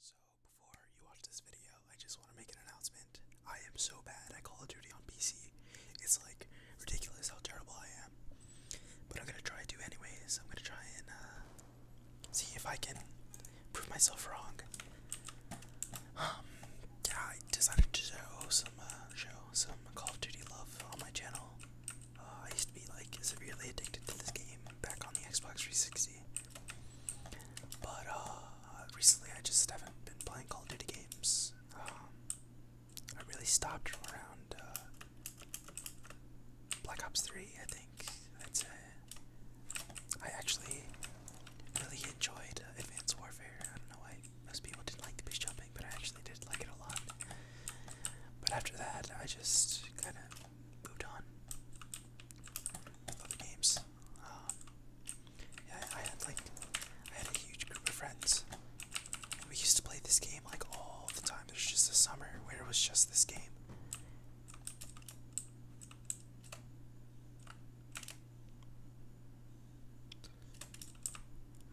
So, before you watch this video, I just want to make an announcement. I am so bad at Call of Duty on PC. It's like ridiculous how terrible I am. But I'm gonna try to, anyways. I'm gonna try and uh, see if I can prove myself wrong. Um, I decided to show some, uh, show some Call of Duty love on my channel. Uh, I used to be like severely addicted to this game back on the Xbox 360. But uh, recently I just haven't been playing Call of Duty games. Um, I really stopped around uh, Black Ops 3, I think. That's it. I actually really enjoyed Advanced Warfare. I don't know why most people didn't like the beach jumping, but I actually did like it a lot. But after that, I just kind of moved on. games. Um, yeah, I had like I had a huge group of friends. We used to play this game like all the time. There's just a summer where it was just this game.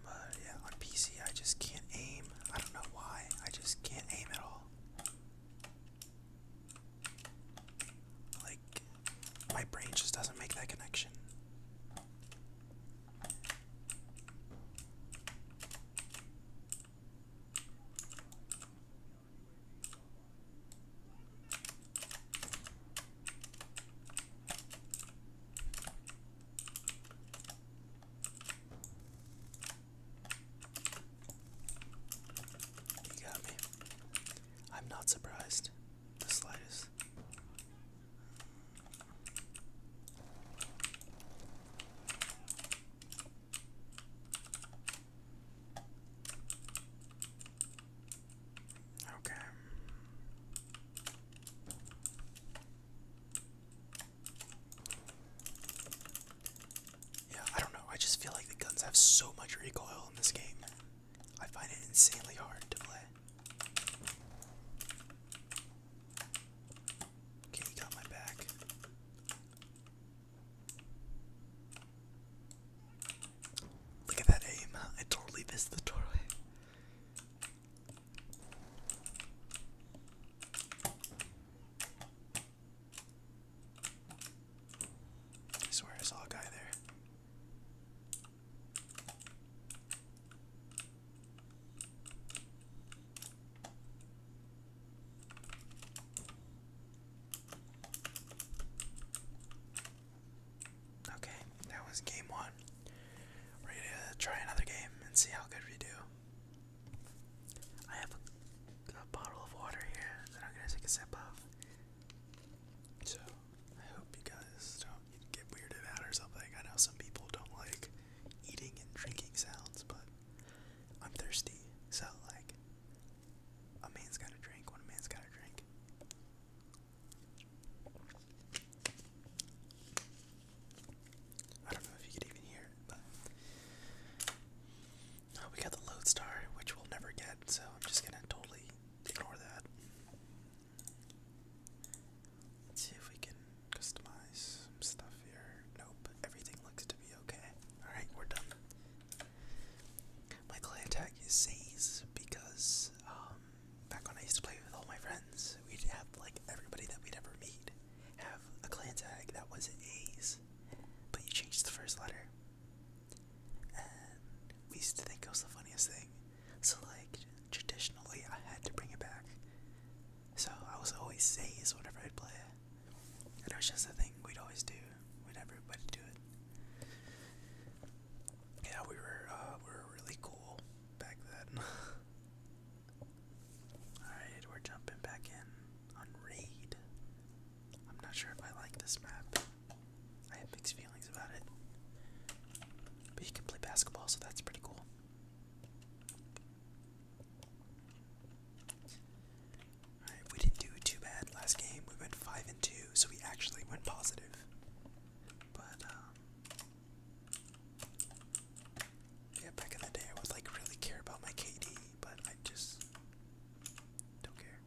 But yeah, on PC I just can't aim. I don't know why. I just can't aim at all. Like, my brain just doesn't make that connection. You got me. I'm not surprised. The slightest. Okay. Yeah, I don't know. I just feel like the guns have so much recoil in this game. I find it insanely hard to play. Okay, got my back. Look at that aim. I totally missed the doorway. I swear I saw a guy there. Okay, that was game one. we to try another game and see how good we do. I have got a bottle of water here that I'm gonna take a sip of. So I hope you guys don't get weirded out or something. I know some people don't like eating and drinking sounds, but I'm thirsty, so like a man's gotta drink when a man's gotta drink. I don't know if you could even hear but uh, we got the lodestar, which we'll never get, so I'm just gonna totally ignore that. Let's see if we can customize some stuff here. Nope, everything looks to be okay. Alright, we're done. My clan tag is A's because um, back when I used to play with all my friends, we'd have like everybody that we'd ever meet have a clan tag that was A's, but you changed the first letter. And we used to think it was the funniest thing. So, like, traditionally, I had to bring it back. So, I was always Say's whenever I'd play it. And it was just a thing we'd always do when everybody do it. Yeah, we were, uh, we were really cool back then. Alright, we're jumping back in on Raid. I'm not sure if I like this map. I have mixed feelings about it. But you can play basketball, so that's pretty cool. Alright, we didn't do too bad last game. We went 5 and 2, so we actually went positive. But, um, Yeah, back in the day, I would like really care about my KD, but I just don't care.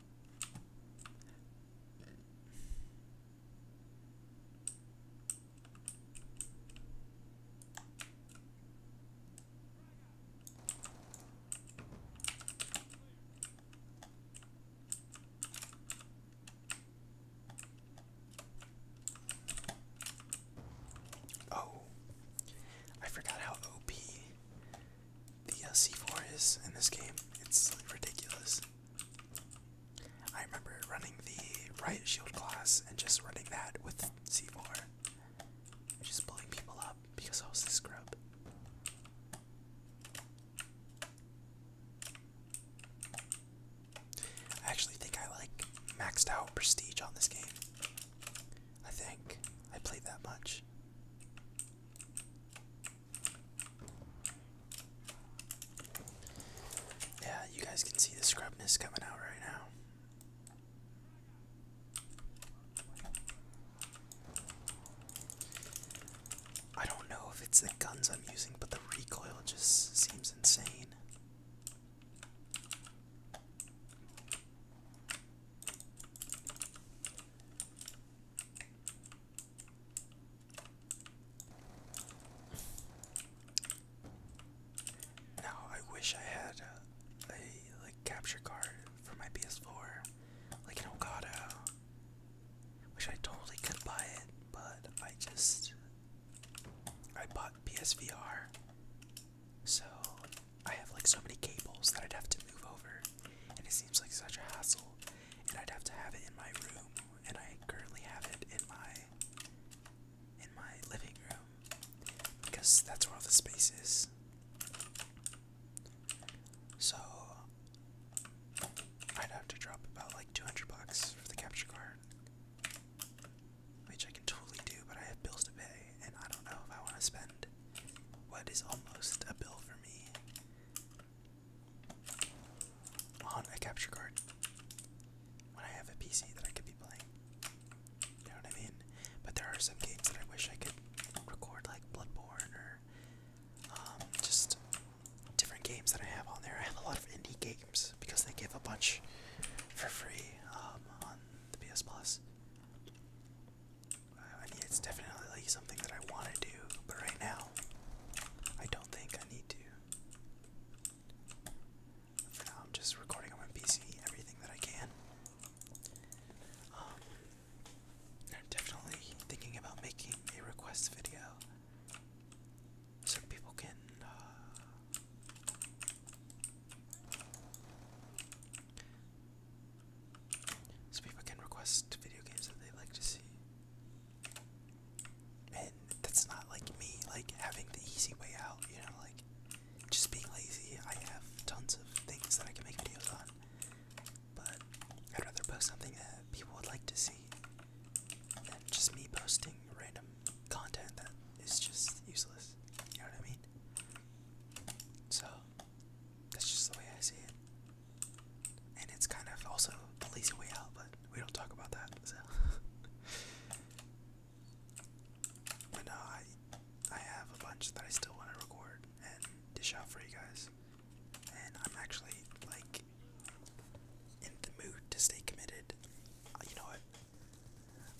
Oh, I forgot how OP the uh, C4 is in this game. It's ridiculous. I remember running the right Shield class and just running that with C4. Just blowing people up because I was the scrub. I actually think I like maxed out prestige on this game. I think I played that much. Yeah, you guys can see the scrubness coming out right now. I don't know if it's the guns I'm using, but the recoil just seems insane. Now I wish I had a, like capture card for my PS4, like an Elgato. Wish I totally could buy it, but I just I bought PSVR, so I have like so many cables that I'd have to move over and it seems like such a hassle. And I'd have to have it in my room, and I currently have it in my in my living room because that's where all the space is. So I'd have to drop about like 200 bucks for the capture card, which I can totally do, but I have bills to pay, and I don't know if I want to spend what is almost a bill for me on a capture card when I have a PC that I could be playing. You know what mean? But there are some games that I wish I could record, like Bloodborne or um, just different games that I have on there. I have a lot of indie games because they give a bunch for free um, on the PS Plus. I it's definitely like something that I want to do, but right now, I don't think I need to. I'm just recording on my PC everything that I can. Um, I'm definitely thinking about making a request video so people can. Uh, so people can request video games that they'd like to see. And that's not like me, like having the easy way out, you know, like just being lazy. I have tons of things that I can make videos on, but I'd rather post something that people would like to see than just me posting random content that is just useless. You know what I mean? So that's just the way I see it. And it's kind of also the lazy way out, but we don't talk about that. but I I have a bunch that I still want to record and dish out for you guys. And I'm actually like in the mood to stay committed. Uh, you know what?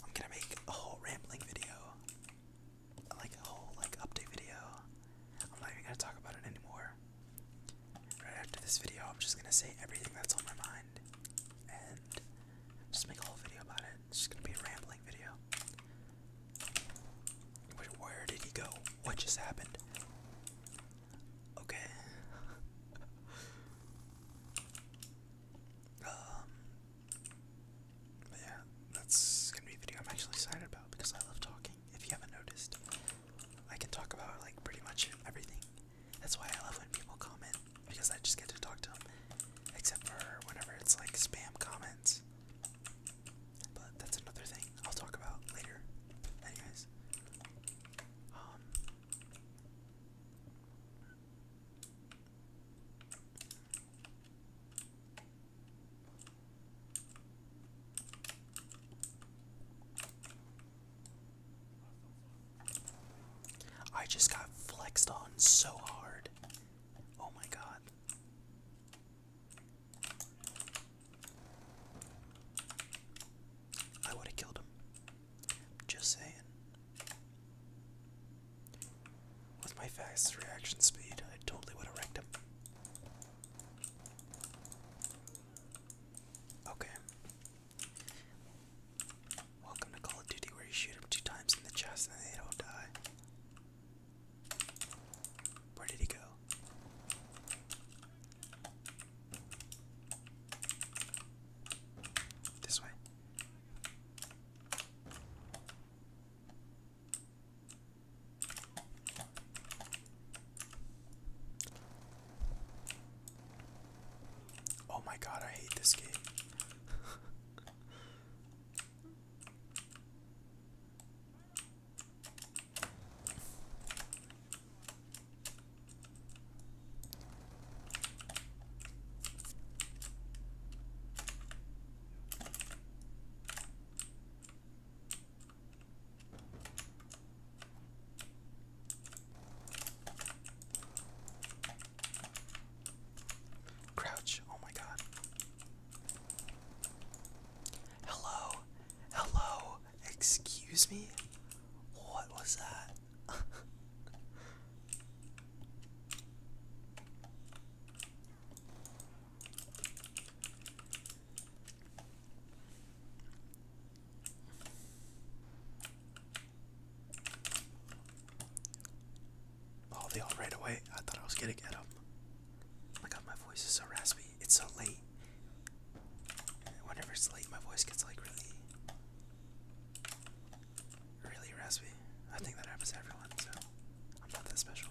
I'm gonna make a whole rambling video like a whole like update video. I'm not even gonna talk about it anymore. Right after this video, I'm just gonna say everything that's on my mind and just make a whole video about it. It's just gonna be a rambling video. Where, did he go? What just happened? Okay. um. yeah, that's gonna be a video I'm actually excited about because I love talking if you haven't noticed. I can talk about like pretty much everything. That's why I love when people comment because I just get to talk to them. Except for whenever it's like spam comments. But that's another thing I'll talk about later. Anyways. Um, I just got flexed on so hard. Oh my god. I would have killed him. Just saying. With my fast reaction speed, I totally would have wrecked him. Okay. Welcome to Call of Duty, where you shoot him two times in the chest and they don't die. Where did he go? This way. Oh my god, I hate this game. Crouch, oh my god. Hello, hello, excuse me? What was that? Oh, they all right away. I thought I was gonna get them. Oh my god, my voice is so raspy. It's so late. Whenever it's late, my voice gets like really, really raspy. I think that happens to everyone, so I'm not that special.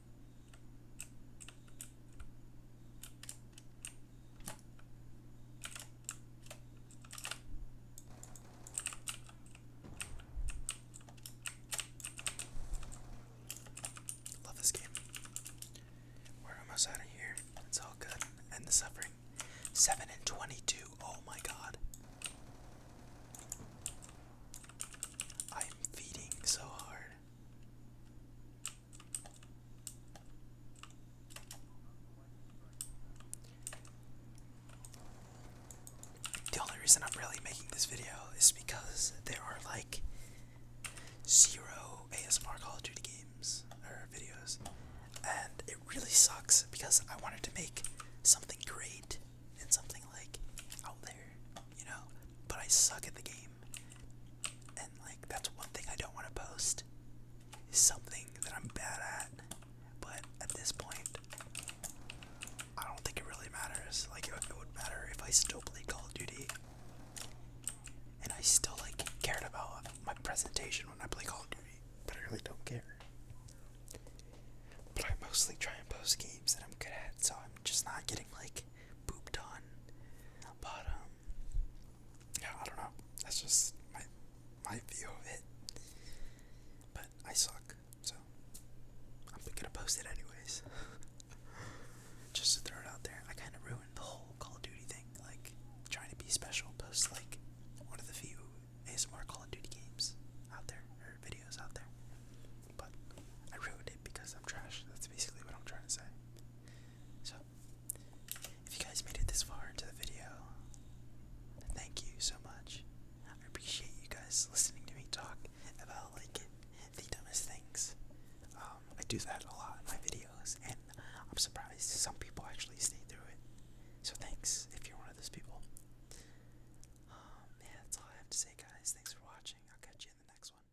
Love this game. We're almost out of here. It's all good. End the suffering. 7 and 22. Oh my god. I'm feeding so hard. The only reason I'm really making this video is because there are like zero ASMR Call of Duty games or videos, and it really sucks because I wanted to make something great and something like out there, you know but I suck at the game. And like that's one thing I don't want to post. Is something that I'm bad at. But at this point, I don't think it really matters. Like it, would matter if I still play Call of Duty. And I still like cared about my presentation when I play Call of Duty. But I really don't care. But I mostly try and post games that I'm good at, so I'm just not getting like booped on. But um yeah, I don't know. That's just my my view of it. But I suck, so I'm gonna post it anyways. just to throw it out there. I kind of ruined the whole Call of Duty thing. Like trying to be special, post like one of the few ASMR Call of Duty games out there or videos out there. But I ruined it because I'm trash. That's basically what I'm trying to say. So if you guys made it this far into the video, thank you so much. I appreciate you guys listening to me talk about like the dumbest things. Um, I do that a lot in my videos, and I'm surprised some people actually stay through it. So thanks if you're one of those people. Um, yeah, that's all I have to say, guys. Thanks for watching. I'll catch you in the next one.